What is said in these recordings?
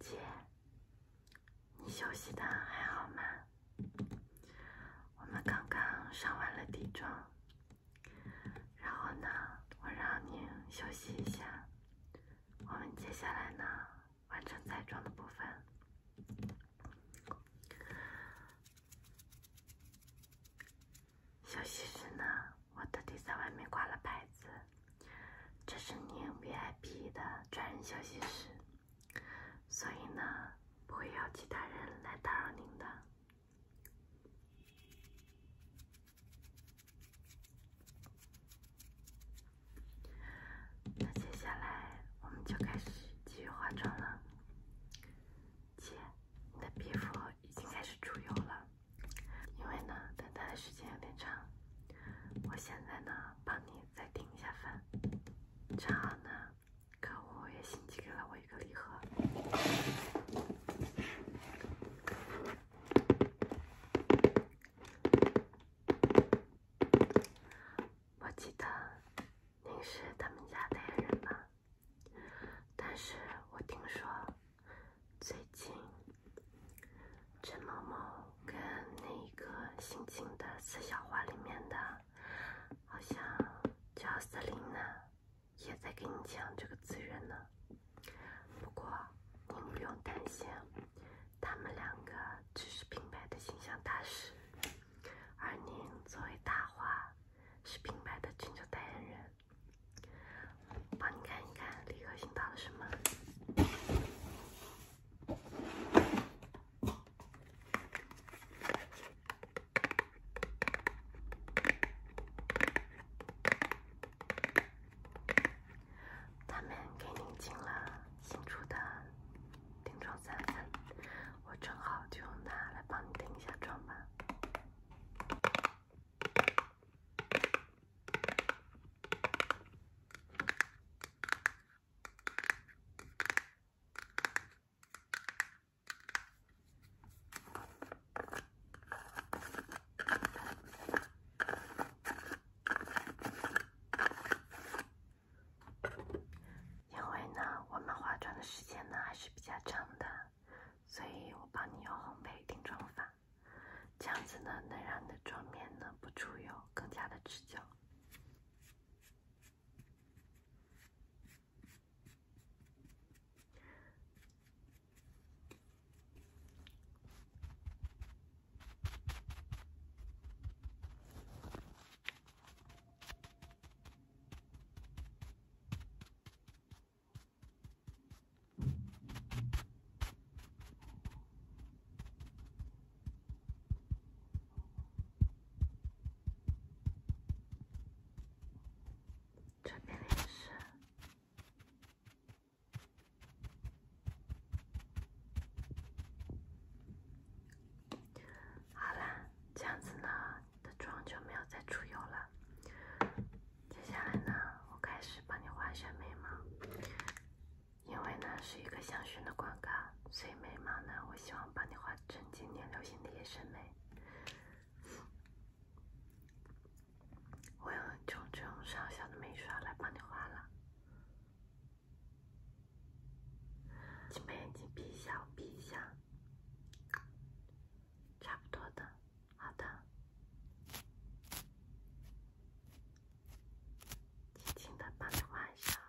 姐，你休息的还好吗？我们刚刚上完了底妆，然后呢，我让你休息一下。我们接下来呢？完成彩妆的部分。休息室呢？我特地在外面挂了牌子，这是您 VIP 的专人休息室，所以呢，不会有其他人来打扰您的。那接下来我们就开始继续化妆了。姐，你的皮肤已经开始出油了，因为呢等待的时间有点长。我现在呢帮你再定一下粉，正好呢客户也新寄给了我一个礼盒。我记得您是他们家代言人吧？但是我听说最近陈某某跟那个姓秦的四小花里面的，好像叫瑟琳娜，也在跟你抢这个资源呢。不过您不用担心。他们两个只是品牌的形象大使，而您作为大花，是品牌的全球代言人。帮你看一看李克欣到了什么。他们给您进了新出的定妆散粉，我正好就用它来帮你定一下妆吧。因为呢，我们化妆的时间呢还是比较长的，所以我帮你用烘焙定妆法，这样子呢，能让你的妆面呢不出油，更加的持久。这边也是。好啦，这样子呢，的妆就没有再出油了。接下来呢，我开始帮你画眼眉毛，因为呢是一个香薰的广告，所以眉毛呢，我希望帮你画成今年流行的野生眉。我用就这种上下的眉刷来帮你画了。请把眼睛闭一下，闭一下，差不多的，好的，轻轻的把它画上，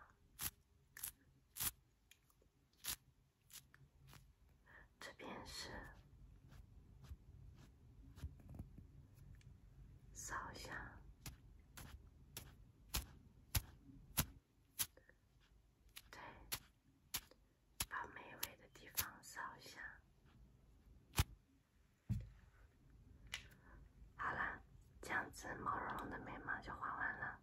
这边是。扫下，对，把眉尾的地方扫下。好了，这样子毛茸茸的眉毛就画完了。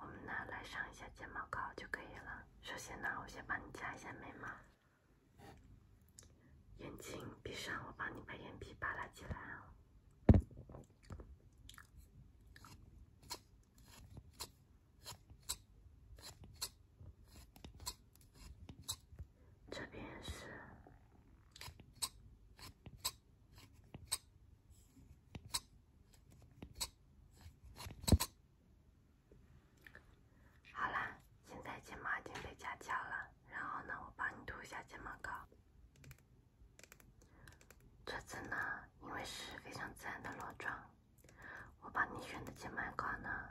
我们呢来上一下睫毛膏就可以了。首先呢，我先帮你夹一下眉毛。眼睛闭上，我帮你把眼皮扒拉起来哦。这边是。好啦，现在睫毛已经被夹翘了，然后呢，我帮你涂一下睫毛膏。这次呢，因为是非常自然的裸妆，我帮你选的睫毛膏呢，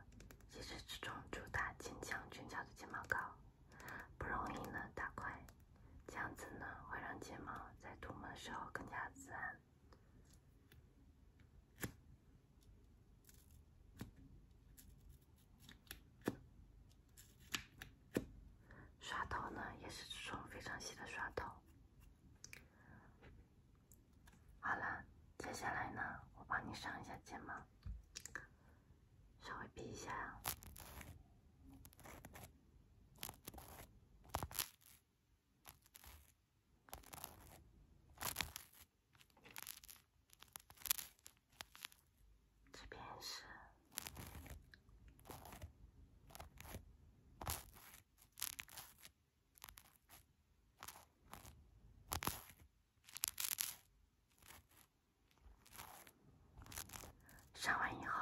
也是这种主打坚强卷翘的睫毛膏，不容易呢打块，这样子呢，会让睫毛在涂抹的时候更加自然。刷头呢，也是这种非常细的刷头。好了，接下来呢，我帮你上一下睫毛，稍微比一下。这边是上完以后，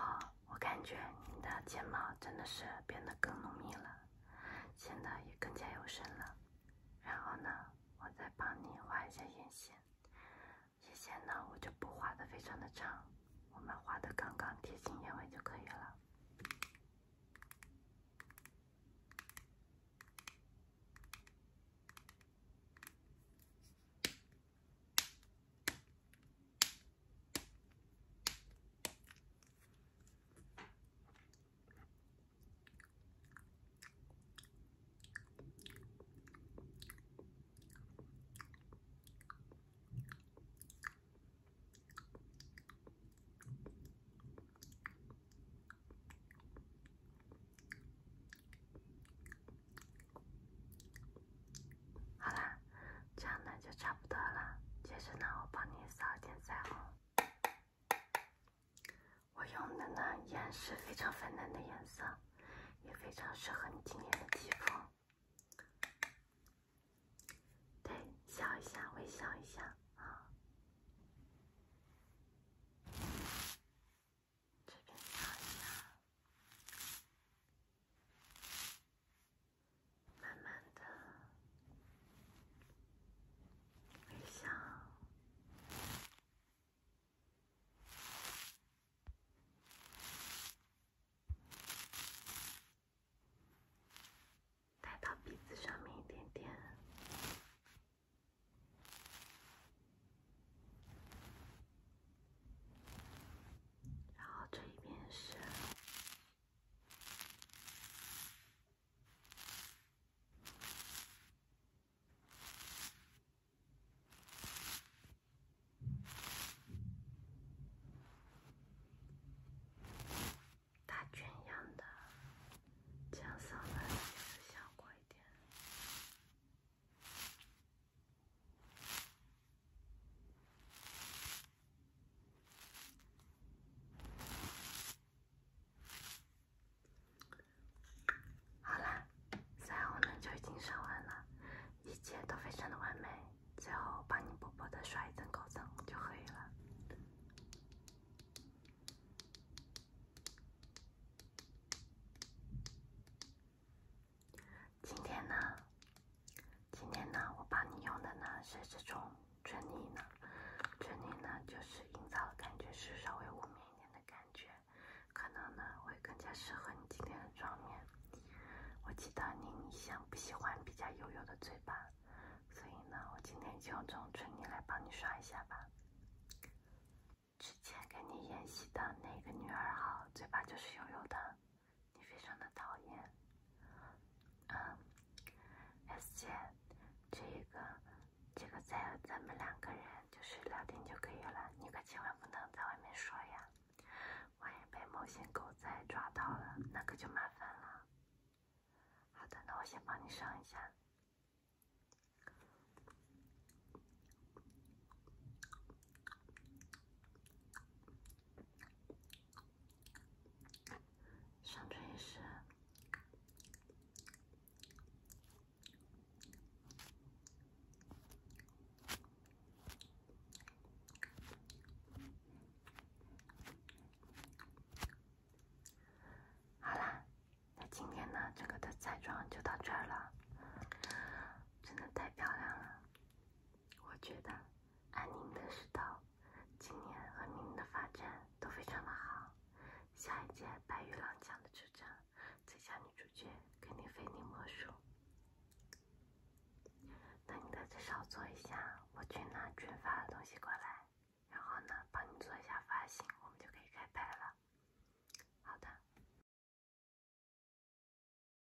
我感觉你的睫毛真的是变得更浓密了。显得也更加有神了。然后呢，我再帮你画一下眼线。眼线呢，我就不画的非常的长，我们画的刚刚贴近眼尾就可以了。好啦。这样呢就差不多了，接着呢我帮你扫一点腮红，我用的呢颜是非常粉嫩的颜色，也非常适合你今天的肌肤。对，笑一下，微笑一下，好，这边擦一下。慢慢的，微笑，带到鼻子上面一点点，然后这一边是。大卷一样的，这样扫出来的效果一点。好啦，腮红呢就已经上完了，一切都非常的完美。最后帮你薄薄的刷一层高光就可以了。今天呢？今天呢，我帮你用的呢是这种唇泥呢。唇泥呢，就是营造的感觉是稍微雾面一点的感觉，可能呢会更加适合你今天的妆面。我记得你一向不喜欢比较油油的嘴巴，所以呢，我今天就用这种唇泥来帮你刷一下吧。之前跟你演戏的那个女二号，嘴巴就是油油的。你非常的讨厌，嗯，S 姐，这个这个在咱们两个人就是聊天就可以了，你可千万不能在外面说呀，万一被某些狗仔抓到了，那可就麻烦了。好的，那我先帮你上一下。上唇也是。好啦，那今天呢，整个的彩妆就到这儿了。真的太漂亮了。我觉得安宁的石头今年和明年的发展都非常的好，下一届白玉郎奖的主角最佳女主角肯定非你莫属。那你的再稍坐一下，我去拿卷发的东西过来，然后呢帮你做一下发型，我们就可以开拍了。好的。